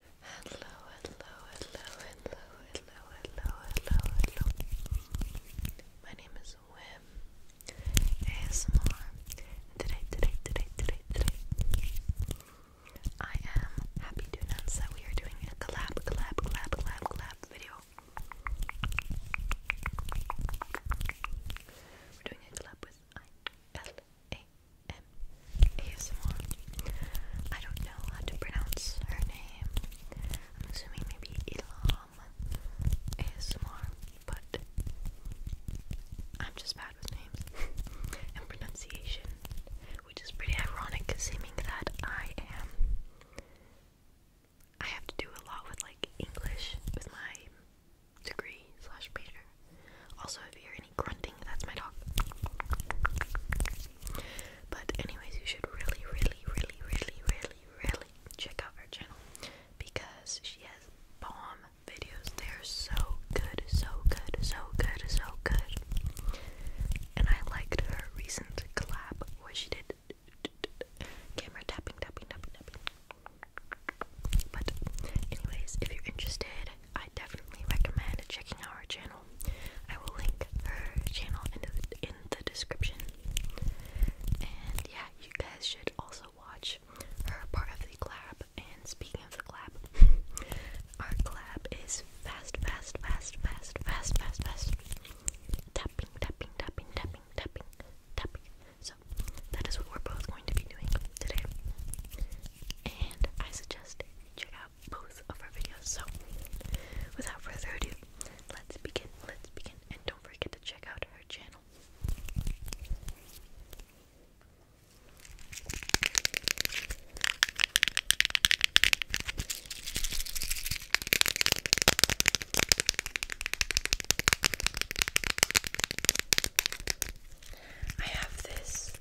Hello, hello, hello, hello, hello, hello, hello, hello. My name is Wim ASMR. And today, today, today, today, today, I am happy to announce that we are doing a collab, collab, collab, collab, collab video. We're doing a collab with I L a-M I don't know how to pronounce her name. I'm assuming maybe Ilham ASMR, but I'm just bad with names and pronunciation, which is pretty ironic assuming that I am. I have to do a lot with like English with my degree slash major. Also, if you're an any grunting. That's my dog. But anyways, you should really, really, really, really, really, really check out her channel because she has bomb videos. They're so good, so good, so good, so good. And I liked her recent collab where she did camera tapping, tapping, tapping, tapping. But anyways, if you're interested, I definitely recommend checking out her channel. I will link her channel in the, in the description. And yeah, you guys should also watch her part of the clap. And speaking of the clap, our clap is fast, fast, fast, fast, fast, fast, fast. Tapping, tapping, tapping, tapping, tapping, tapping. So that is what we're both going to be doing today. And I suggest check out both of our videos. So, without further ado, let's begin. Let's begin, and don't forget to check out her channel. I have this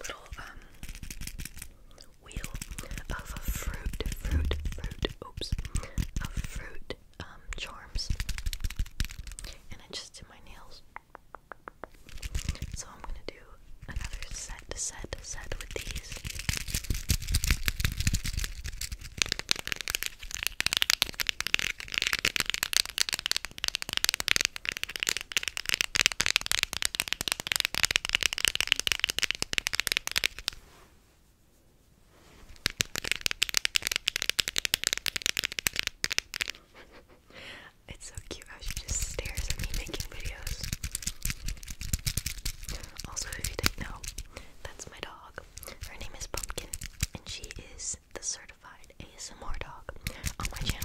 little um wheel of fruit, fruit, fruit, oops, of fruit um charms. And I just did my nails. So I'm gonna do another set, set, set with these it's so cute how she just stares at me making videos. Also, if you didn't know, that's my dog. Her name is Pumpkin, and she is the certified certified ASMR dog on my channel.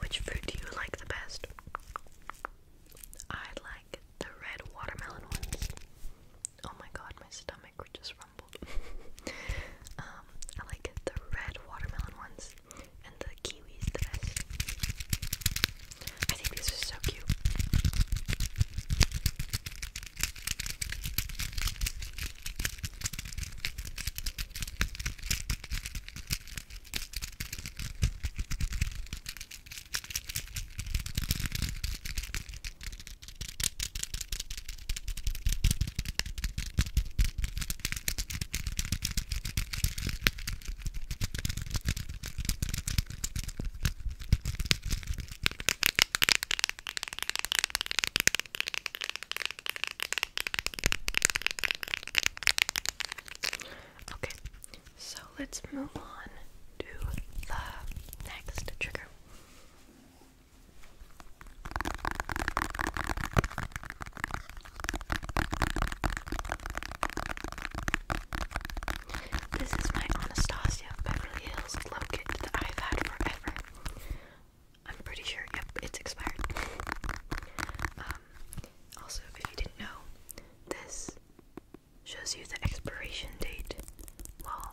Which fruit do you like the best? I like the red watermelon ones. Oh my god, my stomach just Um, I like the red watermelon ones and the kiwis the best. I think these are so cute. Okay, so let's move on to the next trigger. This is my Anastasia Beverly Hills Glow Kit that I've had forever. I'm pretty sure, yep, it's expired. Um, also, if you didn't know, this shows you the expiration date while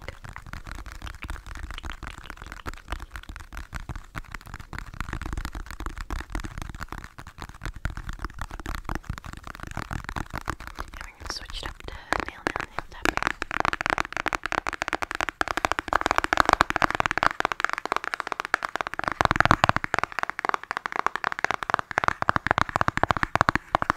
think. And we're going to switch it up to nail, nail, nail tapping.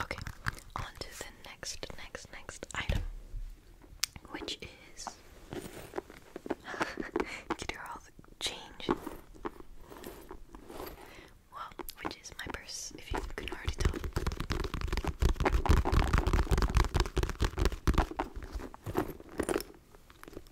Okay, on to the next, next, next item, which is. Get her all the change. Well, which is my purse, if you can already tell.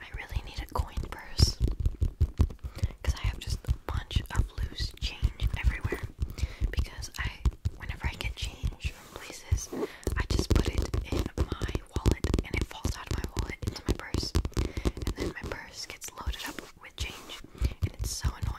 I really need a coin purse because I have just a bunch of loose change everywhere. Because I, whenever I get change from places, I just put it in my wallet and it falls out of my wallet into my purse, and then my purse gets loaded up with change, and it's so annoying.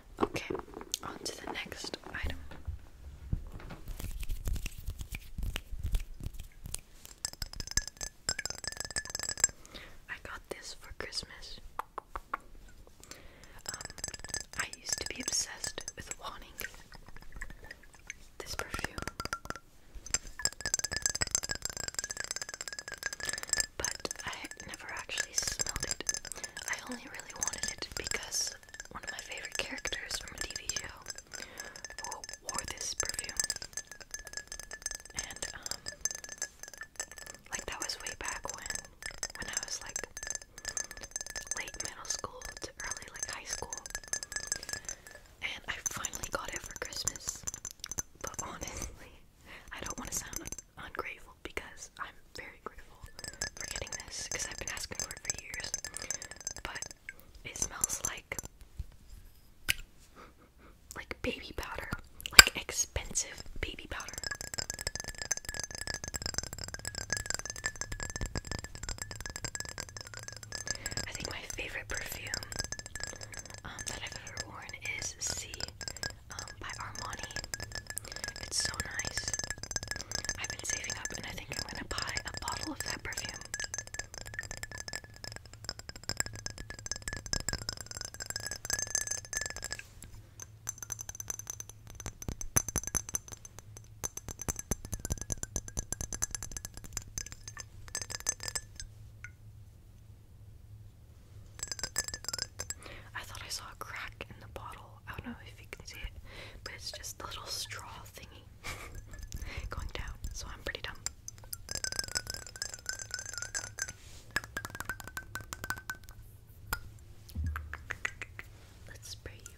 Okay, on to the next item. I got this for Christmas. Um, I used to be obsessed with wanting this perfume. But I never actually smelled it. I only really wanted it because one of my favorite characters from a TV show wore this perfume. And, um, like that was way back when, when I was like late middle school to early like high school. And I finally got it for Christmas. But honestly, I don't want to sound ungrateful because I'm very grateful for getting this because I've been asking for it for years. But it smells like like baby powder, like expensive baby powder. I think my favorite perfume um, that I've ever worn is C um, by Armani. It's so nice. I've been saving up and I think I'm gonna buy a bottle of that perfume. I thought I saw a crack in the bottle. I don't know if you can see it, but it's just a little straw thingy going down, so I'm pretty dumb. Let's spray you.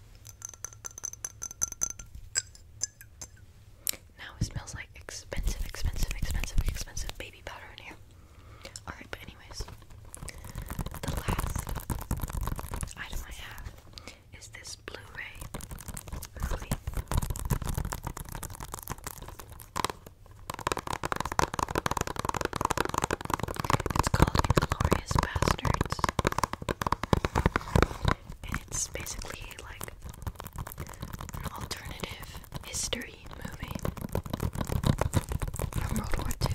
Now it smells like expensive, expensive, expensive, expensive baby powder in here. Alright, but anyways, the last item I have is this Blu-ray It's called Inglorious Bastards it's basically like an alternative history movie from World War II.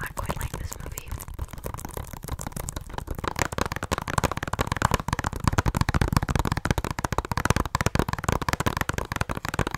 I quite like this movie.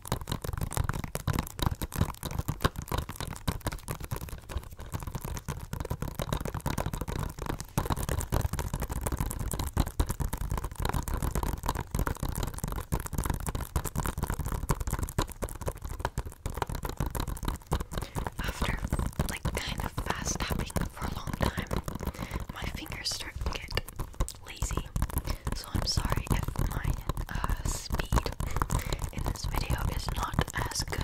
After like kind of fast tapping for a long time, my fingers start to get lazy so I'm sorry if my uh, speed in this video is not as good.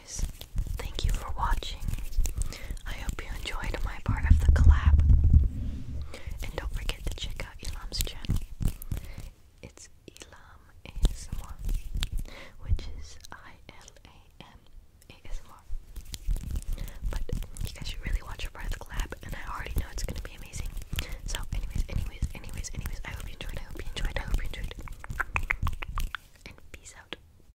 guys. Thank you for watching. I hope you enjoyed my part of the collab. And don't forget to check out Elam's channel. It's Elam ASMR, which is I L A M But you guys should really watch her part of the collab, and I already know it's gonna be amazing. So, anyways, anyways, anyways, anyways, I hope you enjoyed. I hope you enjoyed. I hope you enjoyed. And peace out.